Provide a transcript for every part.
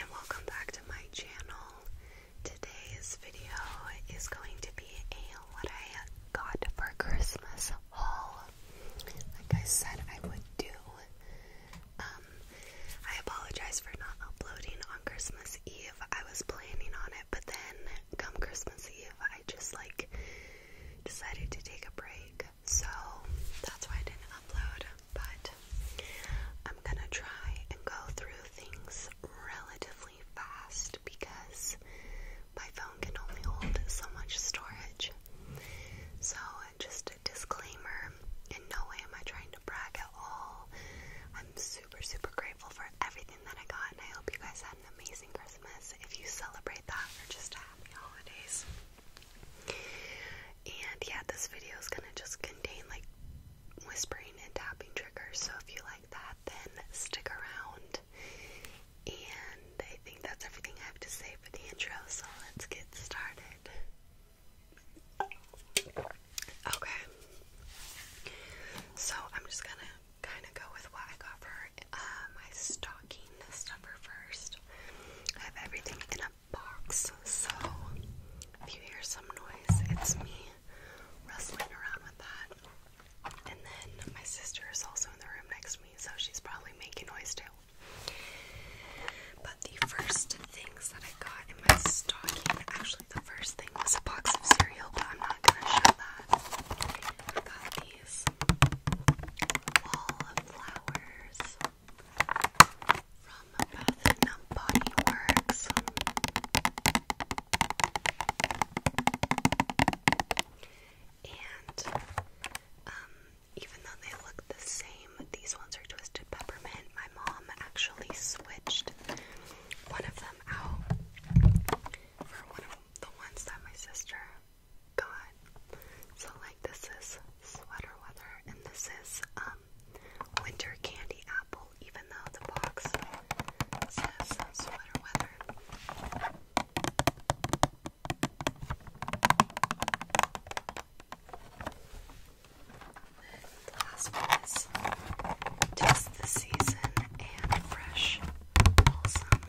and welcome back to my channel. Today's video is going to be a what I got for Christmas haul. Like I said, I would do. Um, I apologize for not uploading on Christmas Eve. I was planning on it, but then come Christmas Eve, I just like decided to take a break. So that's why I didn't upload but I'm gonna try and go through things relatively fast because my phone can only hold so much storage. So, just a disclaimer in no way am I trying to brag at all. I'm super, super grateful for everything that I got, and I hope you guys had an amazing Christmas if you celebrate that or just a happy holidays. And yeah, this video is gonna just contain like whispering and tapping triggers. So if you like that, then stick around. And I think that's everything I have to say for the intro. So let's get started. Okay. So I'm just gonna kind of go with what I got for uh, my stocking stuffer first. I have everything in a box, so if you hear some noise, it's me wrestling around with that. And then my sister is also in the room next to me, so she's probably making noise too. But the first things that I got in my stocking, actually, the first thing was a box of cereal, but I'm not gonna show that. I got these wall of flowers from Bath and Body Works. And um, even though they look the same, these ones are twisted peppermint. My mom actually switched one of them out for one of the ones that my sister got. So like this is sweater weather, and this is um, winter candy apple, even though the box says sweater weather. last one is just the season and fresh balsam.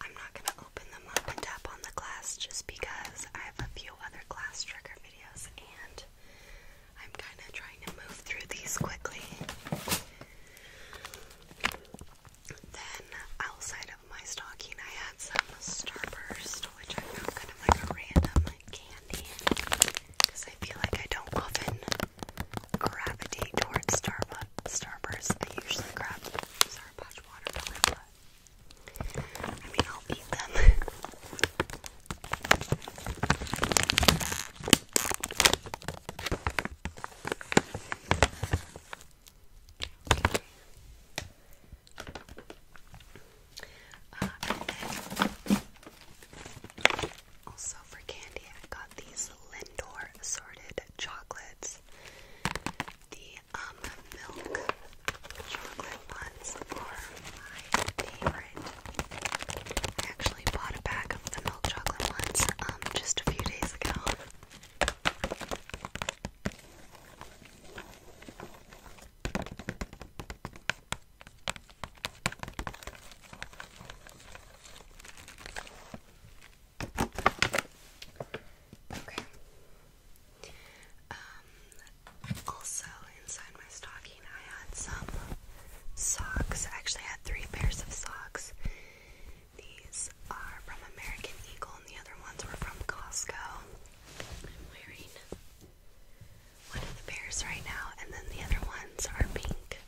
I'm not going to open them up and tap on the glass just because I have a few other glass trigger videos and I'm kind of trying to move through these quickly. Then, outside of my stocking, I had some Starburst, which I found kind of like a random candy because I feel like I don't often gravitate towards Starburst. Starburst. I usually grab Sour Patch Watermelon, but I mean, I'll eat them. Uh, also for candy, I got these Lindor assorted chocolates. The um milk chocolate ones are my favorite. I actually bought a bag of the milk chocolate ones um just a few days ago. Okay. Um, also, inside my stocking, I had some socks. I actually had three pairs of socks. These are from American Eagle, and the other ones were from Costco. I'm wearing one of the pairs right now, and then the other ones are pink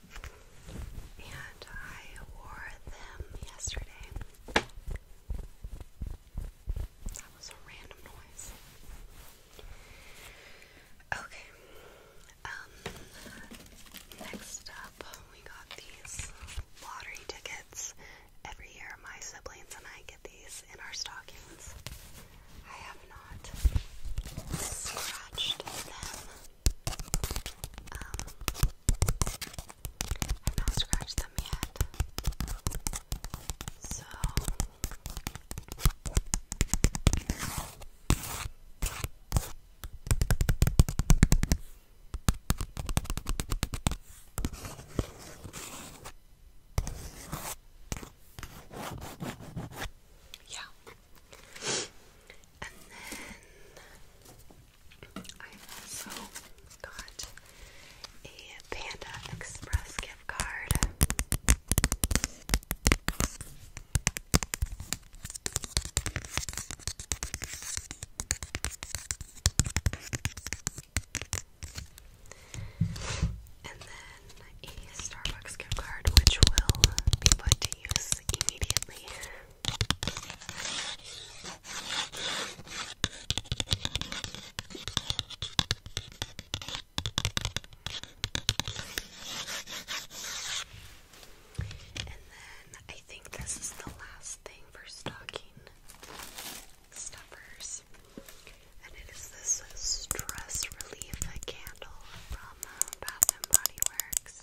and I wore them yesterday. That was a random noise. Okay, um, next up we got these lottery tickets. Every year, my siblings and I get these in our stockings. I have not scratched them um, I've not scratched them yet. So yeah, and then I also got a Panda Express gift card. And then a Starbucks gift card, which will be put to use immediately. And then I think this is the last thing for stocking stuffers. And it is this stress relief candle from uh, Bath and Body Works.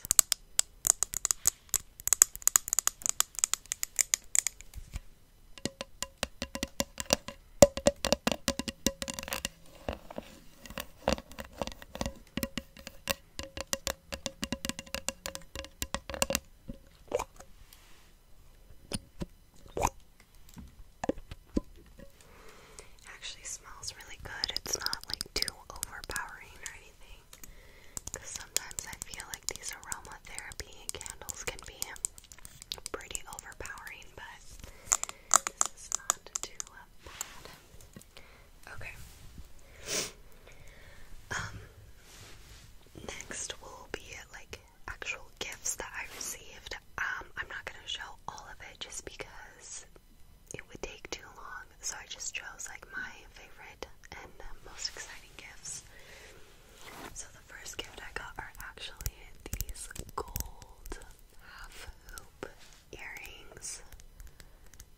Actually smells really good. It's not like too overpowering or anything sometimes I feel like these aromatherapy candles can be pretty overpowering, but this is not too uh, bad. Okay. Um, next will be like actual gifts that I received. Um, I'm not gonna show all of it just because it would take too long, so I just chose like my favorite and most exciting gifts. So the first gift I got are actually these gold half hoop earrings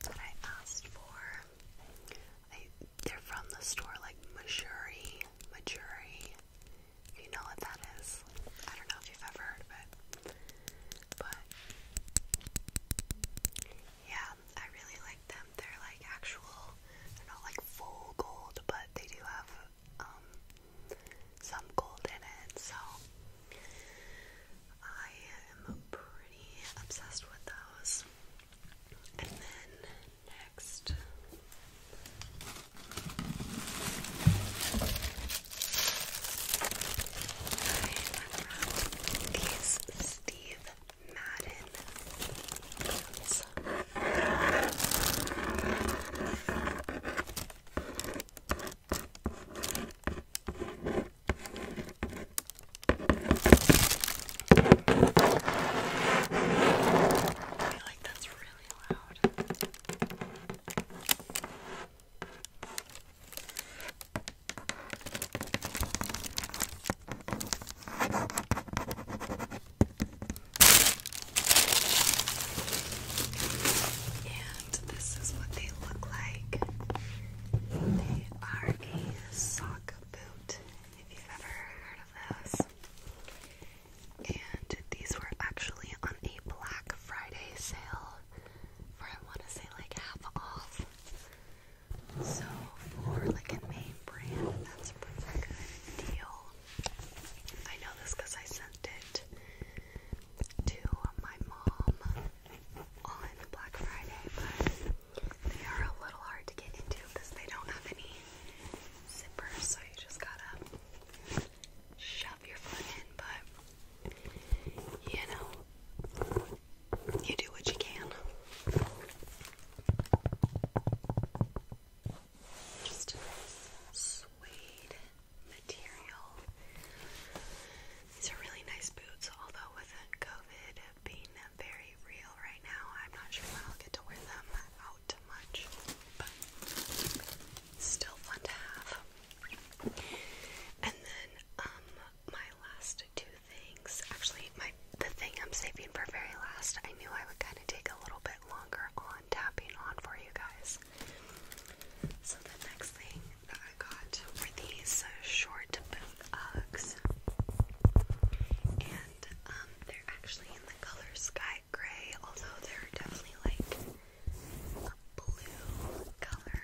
that I asked for. they're from the store like Missouri, Missouri. You know what that is? I don't know if you've ever heard of it, but yeah, I really like them. They're like actual, they're not like full gold, but they do have um some gold in it. So I am pretty obsessed with those. And then next I unwrapped these Steve Madden comes. I feel like that's really loud. And this is what they look like. They are a sock boot, if you've ever heard of those. And these were actually on a Black Friday sale for I want to say like half off. So for like a name brand, that's a pretty good deal. I know this because I sent it to my mom on Black Friday, but they are a little hard to get into because they don't have any zippers, so you just gotta shove your foot in, but you know, you do what you can. Just suede material. These are really nice boots, although with COVID being very real right now, I'm not sure when I'll get to wear them out much, but still fun to have. And then um, my last two things, actually, my the thing I'm saving for very last, I knew I would kind of take a little bit longer on tapping on for you guys. So the next thing that I got were these short boots, and um, they're actually in the color sky gray, although they're definitely like a blue color.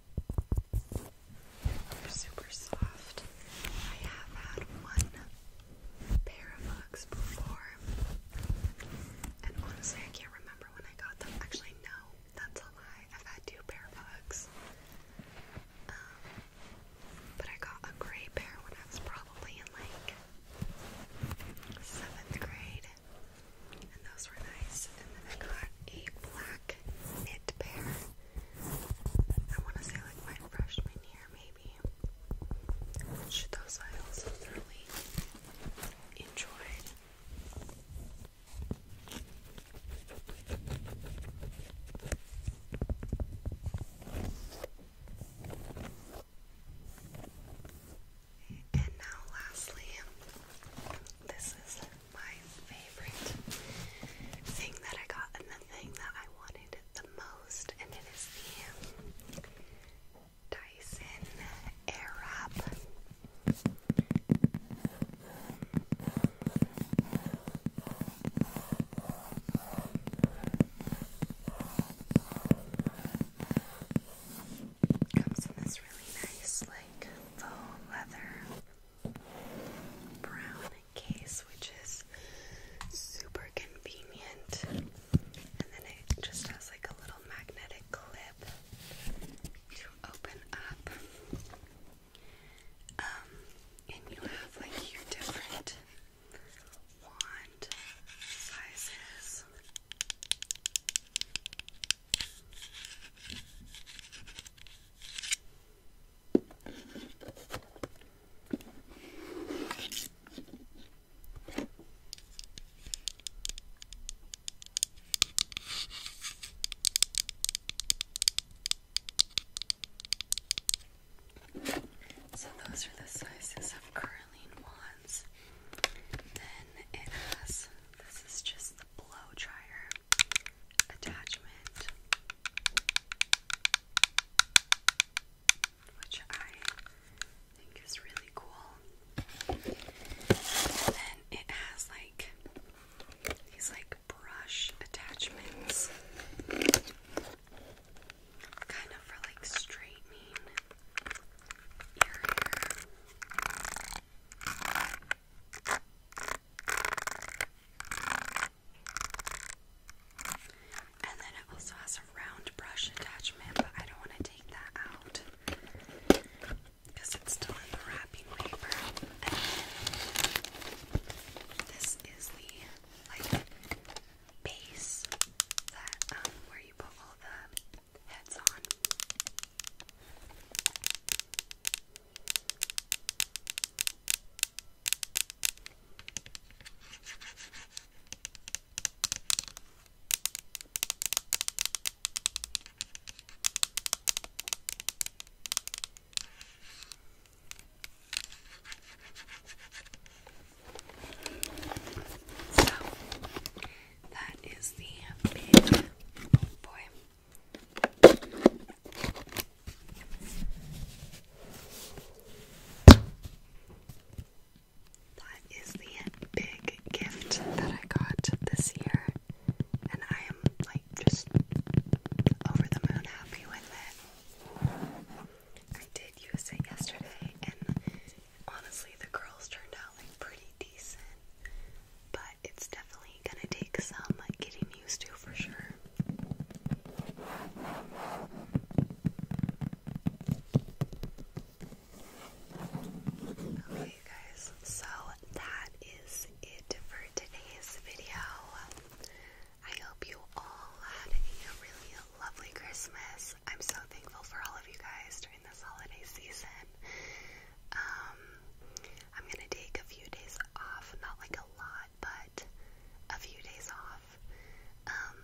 are super soft. I have had one pair of Uggs before, and honestly, I can't remember when I got them. Actually, no, that's a I've had two pair of Uggs, um, but I got a gray pair when I was probably in like seventh grade, and those were nice. And then I got a black knit pair. I want to say like my freshman year maybe. Which those I also thoroughly And now, lastly, this is my favorite thing that I got and the thing that I wanted the most, and it is the Dyson Airwrap. Comes in this really nice, like faux leather brown case, which is super convenient. And then it just has like a little magnetic clip to open up. Um, and you have like your different wand sizes. So those are the sizes of curling wands. Then it has this is just the blow dryer attachment, which I think is really cool. then it has like these like brush attachments, kind of for like straightening your hair. And then it also has a round brush attachment, but I don't want to take that out because it's still in the wrapping paper. this is the like base that um, where you put all the heads on. So that is the big boy. That is the big gift that I got this year, and I am like just over the moon happy with it. I did use it yesterday, and honestly, the curls turned out like pretty decent, but it's definitely definitely gonna take some getting used to for sure. Okay, guys, so that is it for today's video. I hope you all had a really lovely Christmas. I'm so thankful for all of you guys during this holiday season. Um, I'm gonna take a few days off, not like a lot, lot, but a few days off. Um,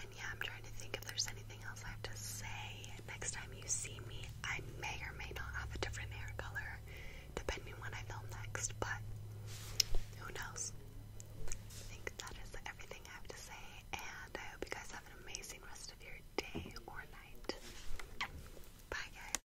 and yeah, I'm trying to think if there's anything else I have to say. Next time you see me, I may or may not have a different hair color, depending on when I film next, but who knows? I think that is everything I have to say, and I hope you guys have an amazing rest of your day or night. Bye, guys.